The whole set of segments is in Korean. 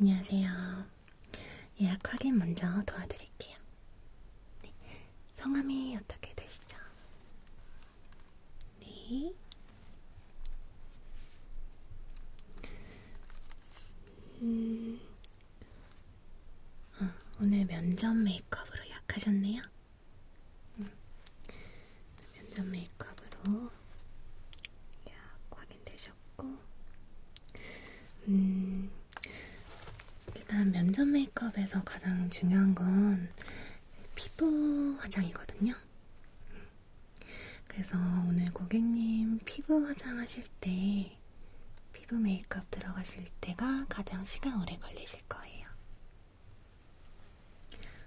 안녕하세요. 예약 확인 먼저 도와드릴게요. 네. 성함이 어떻게 되시죠? 네. 음, 아, 오늘 면접 메이크업으로 예약하셨네요? 음. 면접 메이크업으로 약 확인되셨고 음, 일단 면접 메이크업에서 가장 중요한 건 피부 화장이거든요. 그래서 오늘 고객님 피부 화장하실 때 피부 메이크업 들어가실 때가 가장 시간 오래 걸리실 거예요.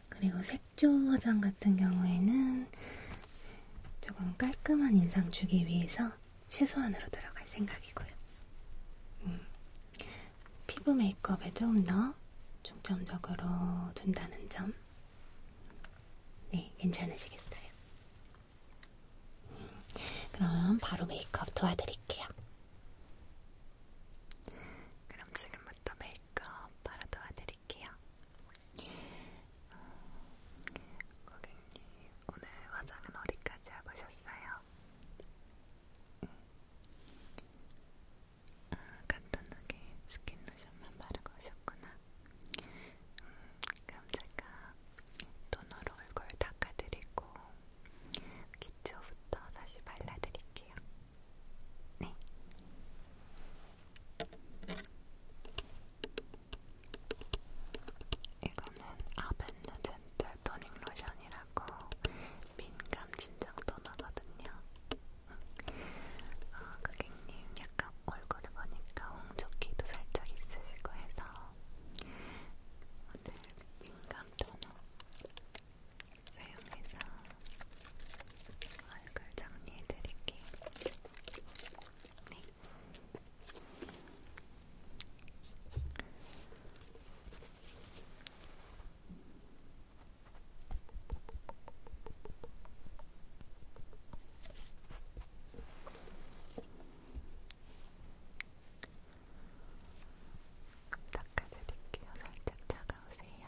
그리고 색 색조 화장 같은 경우에는 조금 깔끔한 인상 주기 위해서 최소한으로 들어갈 생각이고요. 음, 피부 메이크업에 좀 더 중점적으로 둔다는 점. 네, 괜찮으시겠어요? 음, 그럼 바로 메이크업 도와드릴게요. 그럼 지금부터 메이크업 바로 도와드릴게요. 드릴게요. 어, 고객님, 오늘 화장은 어디까지 하고 오셨어요? 음, 아, 간단하게 스킨 로션만 바르고 오셨구나. 음, 그럼 제가 토너로 얼굴 닦아드리고 기초부터 다시 발라드릴게요. 네. 이거는 아벤드 젠틀 토닝 로션이라고 민감 진정 토너거든요. 어, 고객님 약간 얼굴을 보니까 홍조기도 살짝 있으시고 해서 오늘 민감 토너 사용해서 얼굴 정리해드릴게요. 네. 닦아드릴게요. 살짝 차가우세요.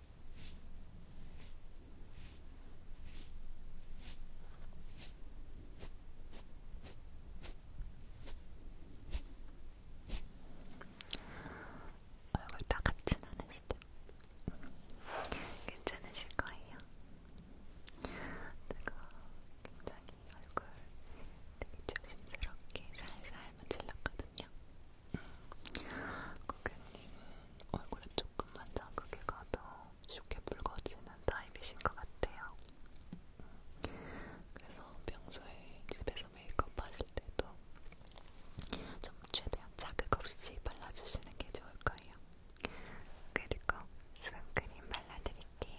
얼굴 다 같진 않으시죠? 괜찮으실 거예요. 제가 굉장히 얼굴 되게 조심스럽게 살살 문질렀거든요. 고객님은 얼굴에 조금만 자극이 가도 쉽게 붉어지는 타입이신 것 같아요. 그래서 평소에 집에서 메이크업 하실 때도 좀 최대한 자극 없이 발라주시는 게 좋을 거예요. 그리고 수분크림 발라드릴게요.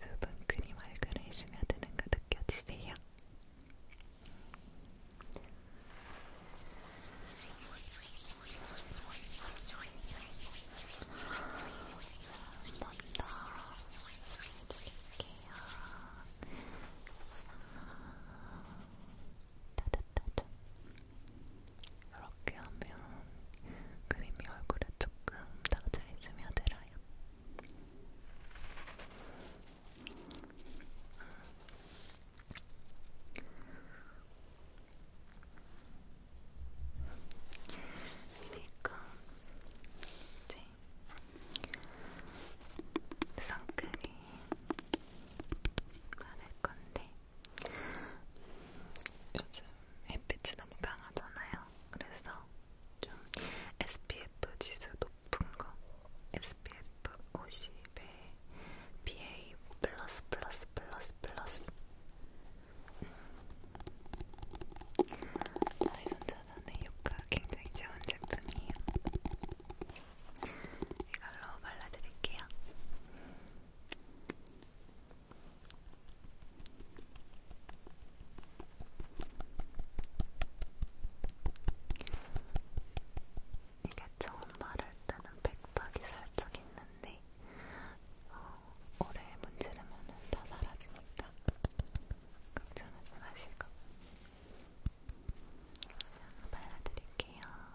흡은 크림 얼굴에 스며드는 거 느껴지세요? 한 번 더 해드릴게요. 따뜻하죠? 이렇게 하면 그림이 얼굴에 조금 더잘 스며들어요. 그리고 이제 선크림 바를 건데 요즘 햇빛이 너무 강하잖아요. 그래서 좀 SPF 지수 높은 거, SPF 50에 BA 플러스 플러스 플러스 플러스. 아이손 음. 차단의 효과 굉장히 좋은 제품이에요. 이걸로 발라드릴게요. 이게 처음 말할 때는 백탁이 살짝 있는데 어, 오래 문지르면 다 사라지니까 걱정하지 마시고 발라드릴게요.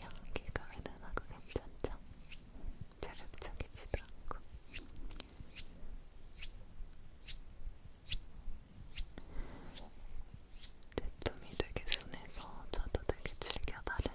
연기가 은은하고 괜찮죠? 자극적이지도 않고 제품이 되게 순해서 저도 되게 즐겨 바르는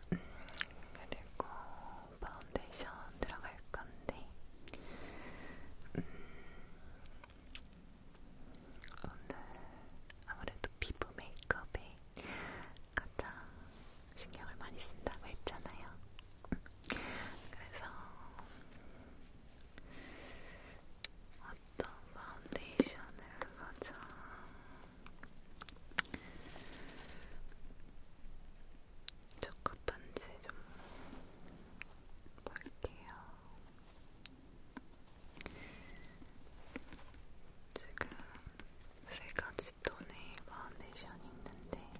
음, 그리고 파운데이션 들어갈 건데 음, 오늘 아무래도 피부 메이크업에 가장 신경을 많이 쓴다고 했잖아요. 그래서 어떤 파운데이션을 가장 첫 번째 좀 볼게요. 지금 세 가지 톤의 파운데이션이 있는데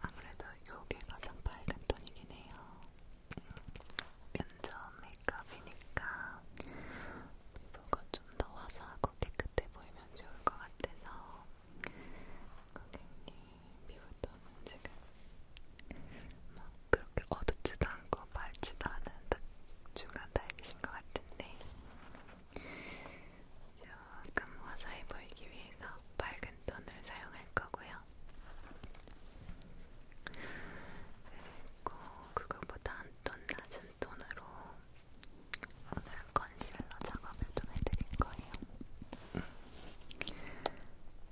아무래도 요게 가장 밝은 톤이긴 해요. 면접 메이크업이니까 피부가 좀 더 화사하고 깨끗해 보이면 좋을 것 같아서 고객님 피부톤은 지금 막 그렇게 어둡지도 않고 밝지도 않은 딱 중간 타입이신 것 같은데 조금 화사해 보이기 위해서 밝은 톤을 사용할 거고요. 그리고 그거보다 한톤 낮은 톤으로 오늘 컨실러 작업을 좀 해드릴 거예요.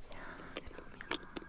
자, 그러면 자,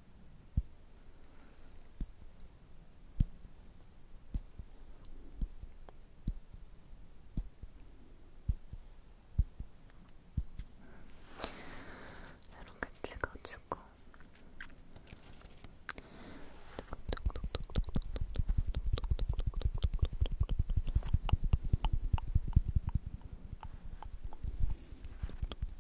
이렇게 찍어주고 이렇게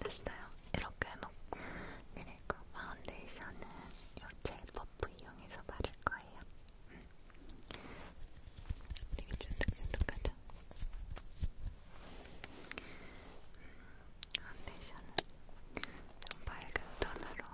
됐어요. 이렇게 해놓고 그리고 파운데이션은 요젤 퍼프 이용해서 바를 거예요. 되게 쫀득쫀득하죠? 파운데이션은 좀 밝은 톤으로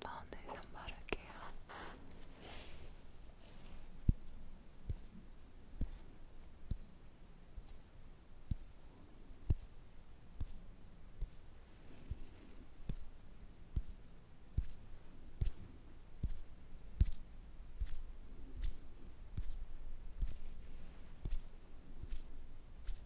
파운데이션 바를게요. 음.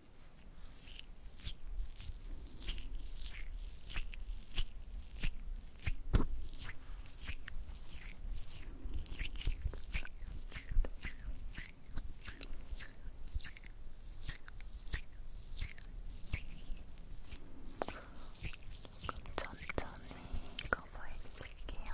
조금 천천히 커버해 드릴게요.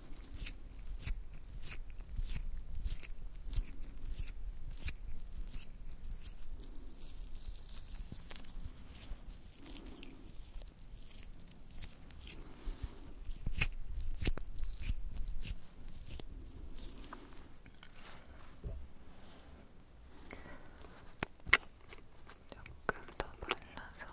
조금 더 발라서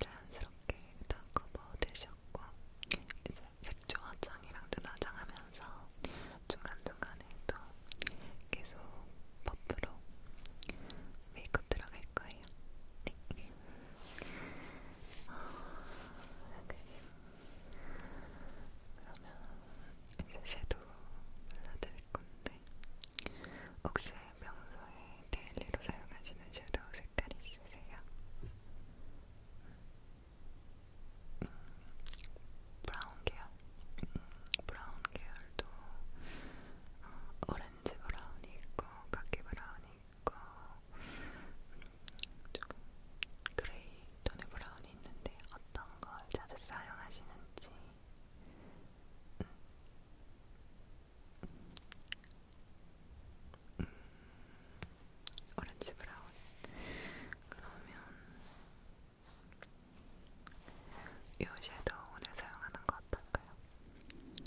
자연스럽게 일단 커버 되셨고 이제 색조 화장이랑 눈화장 하면서 중간중간에 또 계속 버프로 메이크업 들어갈 거예요. 네. 어, 아, 그림 네. 그러면 이제 섀도우 발라드릴 건데 혹시 평소에 데일리로 사용하시는 섀도우 색깔 있으세요? 음, 브라운 계열? 음, 브라운 계열도 어, 오렌지 브라운이 있고 카키 브라운이 있고 음, 조금 그레이 톤의 브라운이 물론 있는데 어떤 걸 자주 사용하시는지 음. 음. 오렌지 브라운 그러면 이 섀도우 오늘 사용하는 거 어떨까요? 음,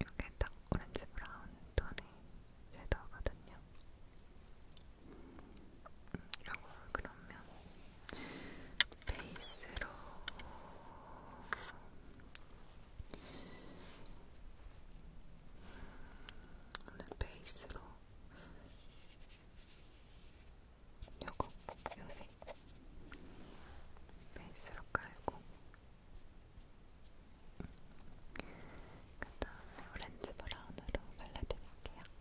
이게 딱 오렌지 브라운 톤의 섀도우거든요. 이라고 그러면 베이스로 오늘 베이스로 요거 요새 베이스로 깔고 그 다음에 오렌지 브라운으로 발라드릴게요.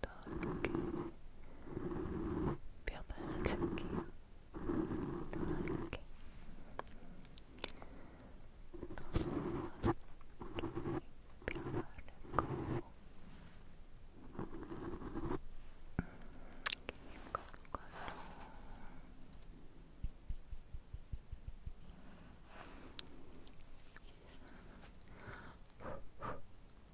더 이렇게 뼈 발라줄게요. 더 이렇게 더 이렇게 뼈 바르고 이걸로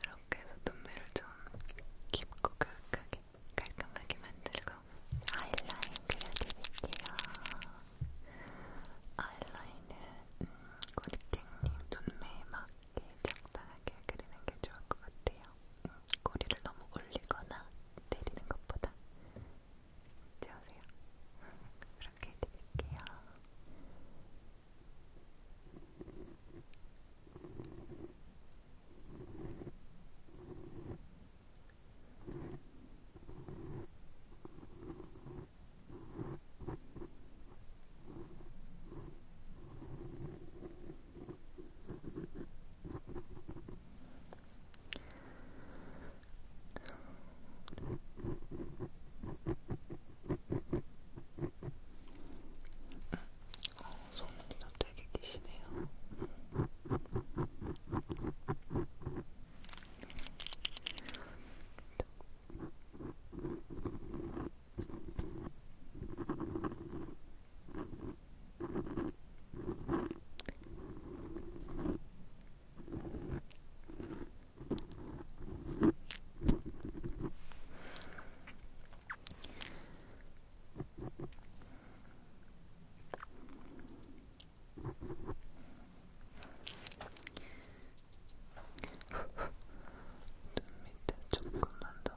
이렇게 해서 눈매를 좀 깊고 가득하게 깔끔하게 만들고 아이라인 그려드릴게요. 아이라인은 음, 고리띵님 눈매에 맞게 적당하게 그리는 게 좋을 것 같아요. 음, 꼬리를 너무 올리거나 내리는 것보다 채우세요. 그렇게 해드릴게요. 어, 소문이나 되게 계시네요. 음, 눈 밑에 조금만 더.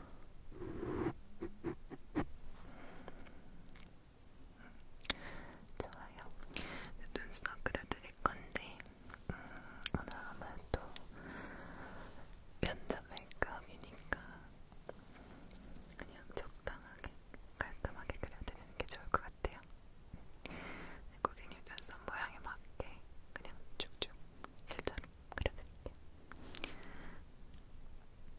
좋아요. 눈썹 그려드릴 건데 음, 오늘 아무래도 면접 메이크업이니까 그냥 적당하게 깔끔하게 그려드리는 게 좋을 것 같아요. 고객님 눈썹 모양에 맞게 그냥 쭉쭉 실제로 그려드릴게요.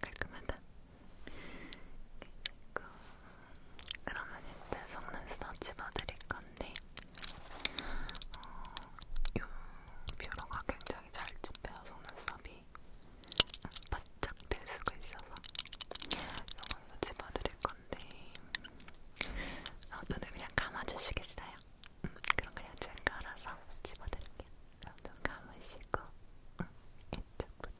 깔끔하다. 그리고 그러면 이제 속눈썹 집어드릴 건데 어, 이 뷰러가 굉장히 잘 집혀요 속눈썹이 바짝 될 수가 있어서 이걸로 집어드릴 건데 어, 눈을 그냥 감아주시겠어요? 음, 그럼 그냥 제가 알아서 집어드릴게요. 그럼 눈 감으시고 음, 이쪽부터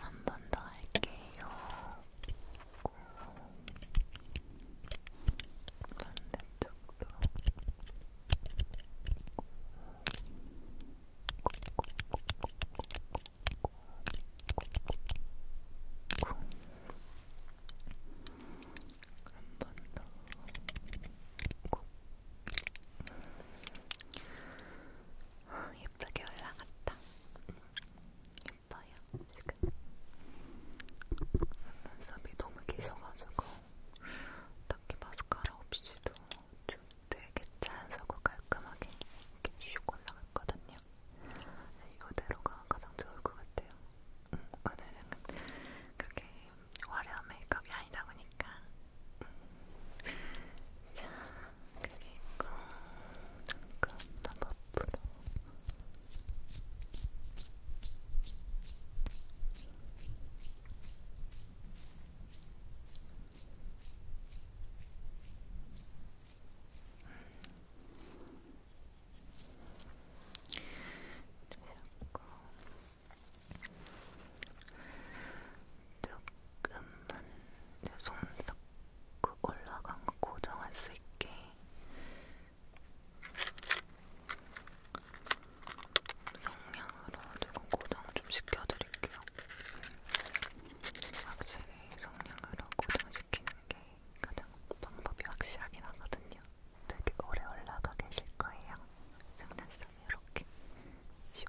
한번더 할게요. 반대쪽도. 한번더 예쁘게 올라갔다. 응. 예뻐요 지금. 눈썹이 너무 기셔가지고 딱히 마스카라 없이도 좀 되게 자연스럽고 깔끔하게 이렇게 슉 올라갔거든요. 네, 이거대로가 가장 좋을 것 같아요. 응, 음, 오늘은 그렇게 화려한 메이크업이 아니다 보니까 자 그리고 잠깐 앞으로 되셨고 조금만 내손 넣고 올라간 거 고정할 수 있게 성냥으로 조금 고정을 좀 시켜드릴게요. 확실히 성냥으로 고정시키는 게 가장 방법이 확실하긴 하거든요. 되게 오래 올라가 계실 거예요. 장난감이 이렇게 슉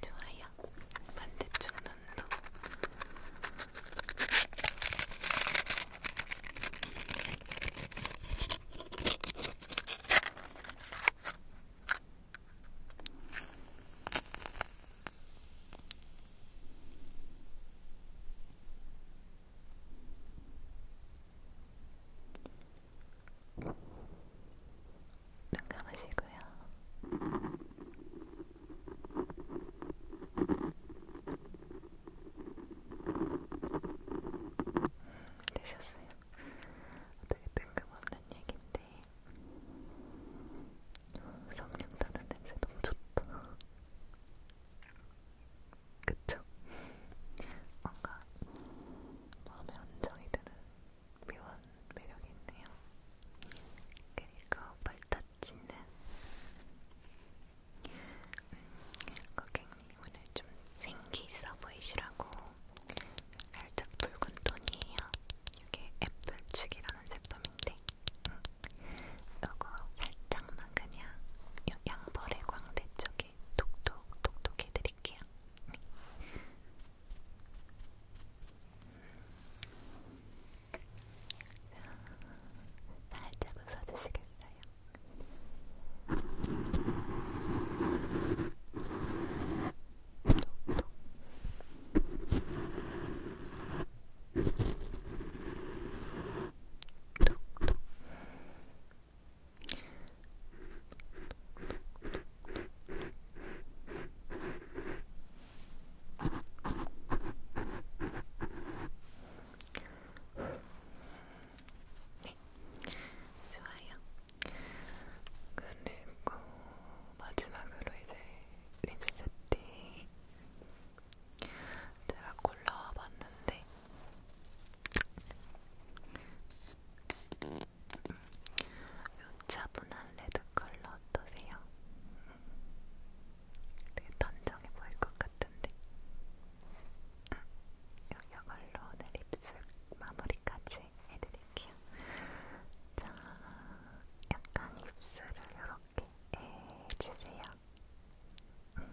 좋아요. 반대쪽 눈도. 눈 감으시고요. 되셨어요? 어떻게 뜬금없는 얘긴데 성냥 타는 냄새 너무 좋다. 그쵸? 뭔가 마음에 안정이 되는 묘한 매력이 있네요. 그리고 발타치는 음, 고객님 오늘 좀 생기 있어 보이시라고 살짝 붉은 톤이에요. 이게 애플측이라는 제품인데 응. 음, 이거 살짝만 그냥 양벌의 광대 쪽에 톡톡 톡톡 해드릴게요. 살짝 웃어주시겠어요? 톡톡. 톡톡. 톡톡. 네, 좋아요. 그리고 마지막으로 이제 립스틱 제가 골라봤는데 이 차분한 레드 컬러 어떠세요? 되게 단정해 보일 것 같은데 이걸로 오늘 입술 마무리까지 해드릴게요 자, 약간 입술을 음, 아, 이렇게 해주세요 그리고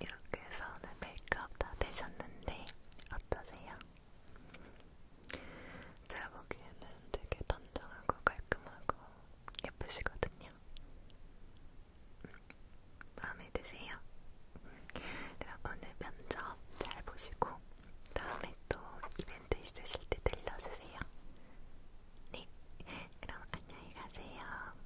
이렇게 해서 오늘 메이크업 다 되셨는데 어떠세요? 제가 보기에는 되게 단정하고 깔끔하고 예쁘시거든요. 마음에 드세요? 그럼 오늘 면접 잘 보시고 다음에 또 이벤트 있으실 때 들려주세요. 네, 그럼 안녕히 가세요.